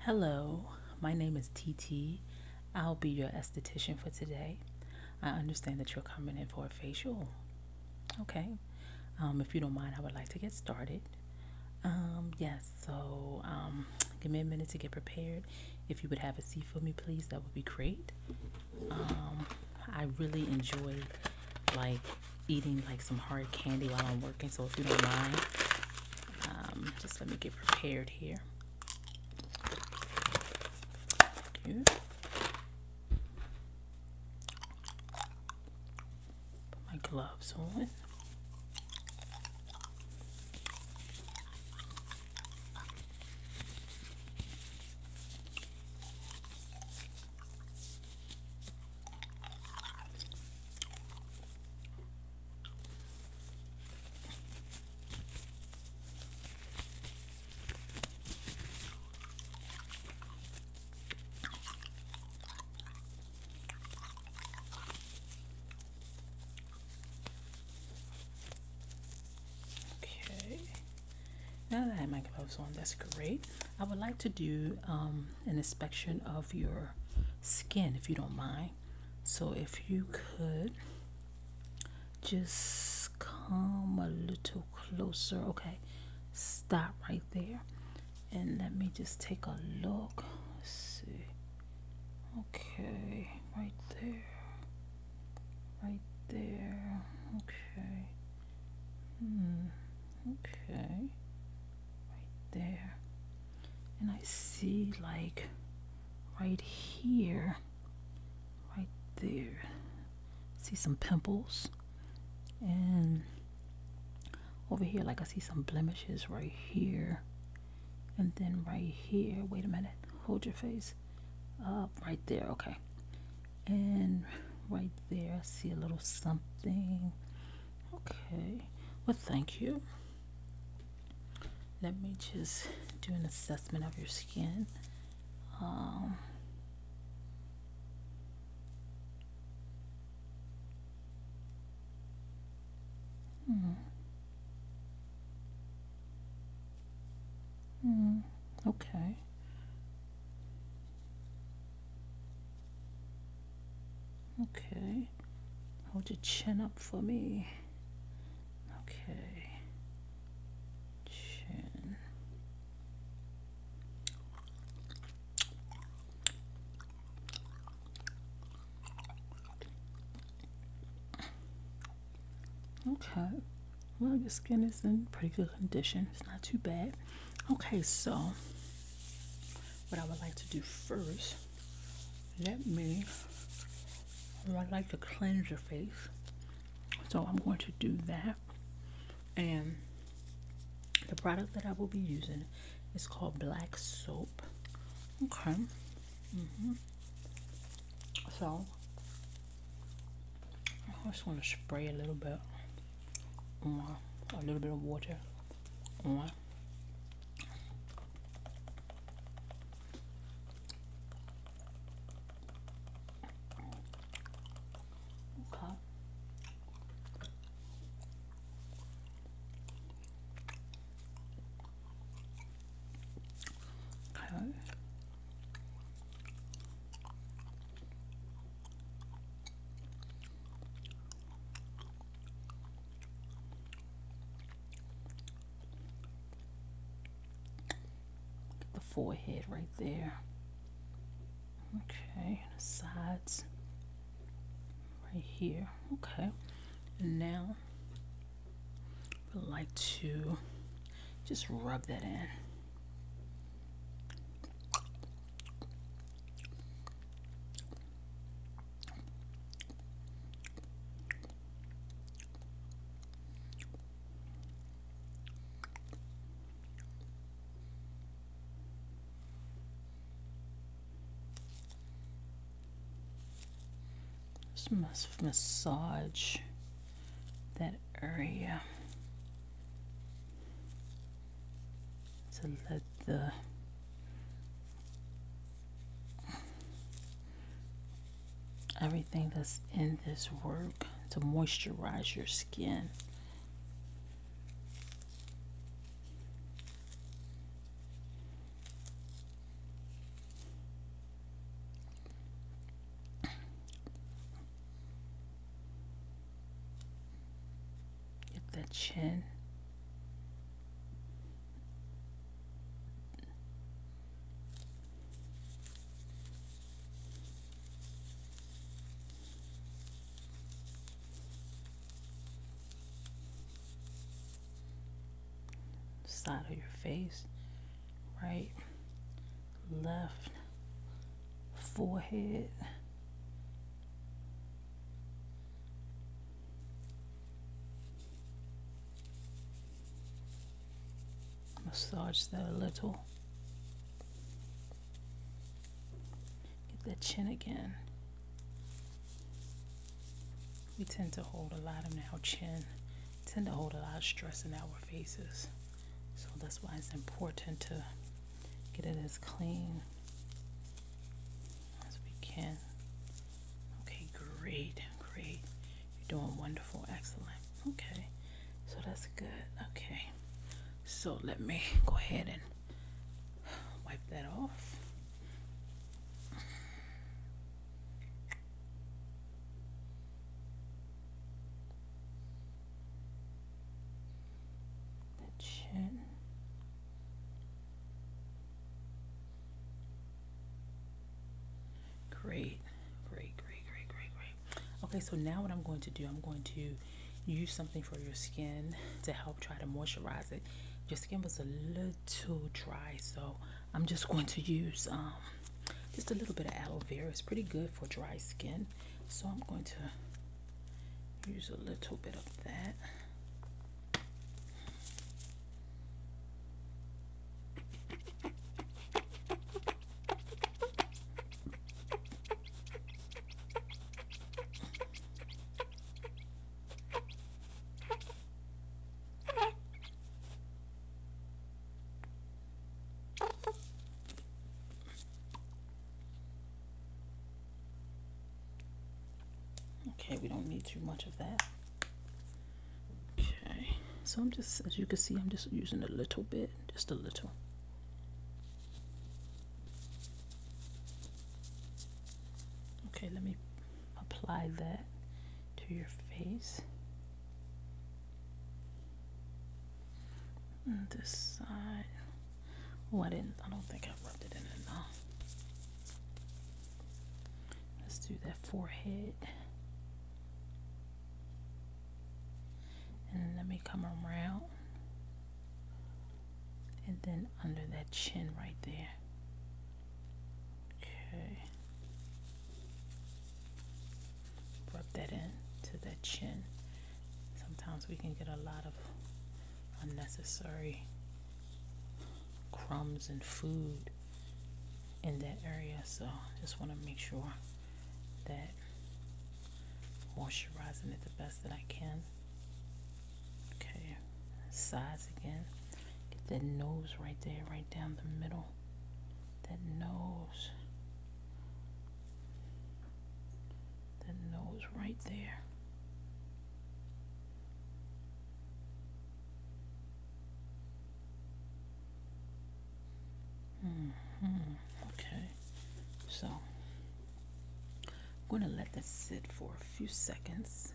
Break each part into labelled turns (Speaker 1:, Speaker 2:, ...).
Speaker 1: Hello, my name is TT. I'll be your esthetician for today. I understand that you're coming in for a facial. Okay. Um, if you don't mind, I would like to get started. Um, yes, so um, give me a minute to get prepared. If you would have a seat for me, please, that would be great. I really enjoy like eating like some hard candy while I'm working. So if you don't mind, um, just let me get prepared here. Put my gloves on. Okay, now that I have my gloves on, that's great. I would like to do um, an inspection of your skin if you don't mind. So, if you could just come a little closer, okay, stop right there and let me just take a look. Let's see, okay, right there, right there, okay. Hmm. Okay, right there. And I see like right here, right there. See some pimples. And over here, like I see some blemishes right here. And then right here, wait a minute, hold your face up right there, okay. And right there, I see a little something Okay, well, thank you. Let me just do an assessment of your skin. Um, hmm. Hmm. Okay. Okay. Hold your chin up for me. Okay. Chin. Okay. Well, your skin is in pretty good condition. It's not too bad. Okay, so what I would like to do first, let me, I'd like to cleanse your face. So I'm going to do that. And the product that I will be using is called Black Soap. Okay. -hmm. So i just want to spray a little bit a little bit of water okay okay Get the forehead right there. Okay, the sides right here. Okay, and now I would like to just rub that in. Just massage that area. to let the everything that's in this work to moisturize your skin. Get the chin. side of your face, right? left forehead. Massage that a little. Get the chin again. We tend to hold a lot of our chin, tend to hold a lot of stress in our faces. So that's why it's important to get it as clean as we can. Okay, great, great. You're doing wonderful, excellent. Okay, so that's good. Okay, so let me go ahead and wipe that off. Great, great, great, great, great, great. Okay, so now what I'm going to do, I'm going to use something for your skin to help try to moisturize it. Your skin was a little dry, so I'm just going to use um, just a little bit of aloe vera. It's pretty good for dry skin. So I'm going to use a little bit of that. Okay, we don't need too much of that. Okay, so I'm just, as you can see, I'm just using a little bit, just a little. Okay, let me apply that to your face this side. Oh, I didn't. I don't think I rubbed it in enough. Let's do that forehead. And let me come around. And then under that chin right there. Okay. Rub that in to that chin. Sometimes we can get a lot of unnecessary crumbs and food in that area. So just want to make sure that moisturizing it the best that I can. Okay, sides again. Get that nose right there, right down the middle that knows, that knows right there. -hmm. Okay, so I'm going to let this sit for a few seconds.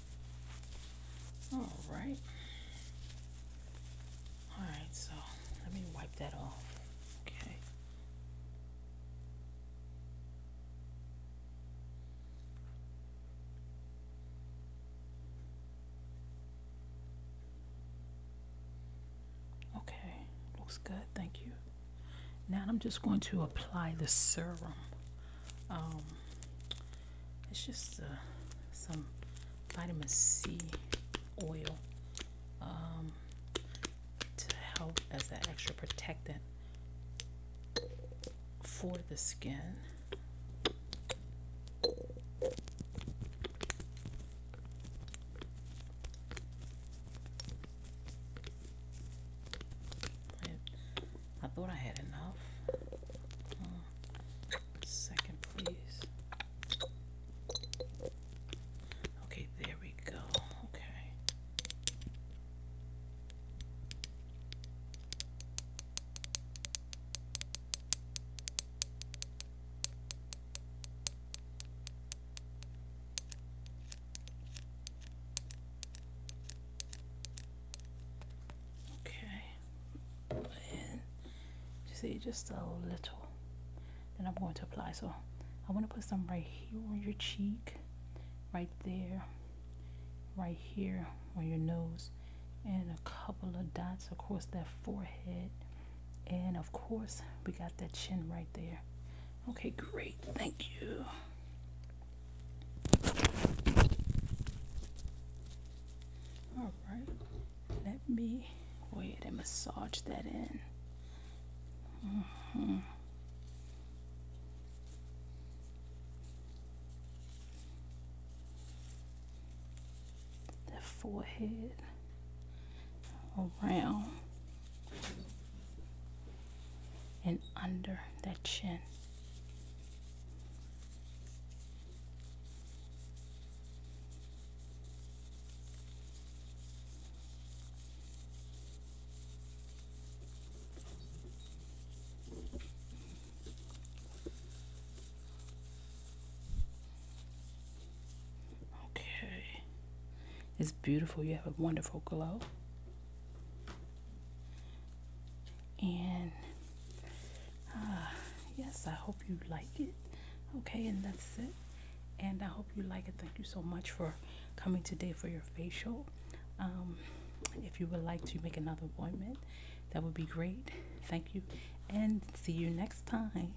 Speaker 1: All right. All right, so let me wipe that off. Okay. Okay, looks good. Thank you. Now I'm just going to apply the serum um, it's just uh, some vitamin C oil um, to help as an extra protectant for the skin. I thought I had enough. Oh, second, please. Okay, there we go. Okay. Okay, and you just a little. Then I'm going to apply. So I want to put some right here on your cheek, right there, right here on your nose, and a couple of dots across that forehead. And of course, we got that chin right there. Okay, great. Thank you. All right, let me go ahead and massage that in. Mm The forehead around and under that chin. Okay. It's beautiful. You have a wonderful glow and uh, yes I hope you like it okay and that's it and I hope you like it thank you so much for coming today for your facial um, if you would like to make another appointment that would be great thank you and see you next time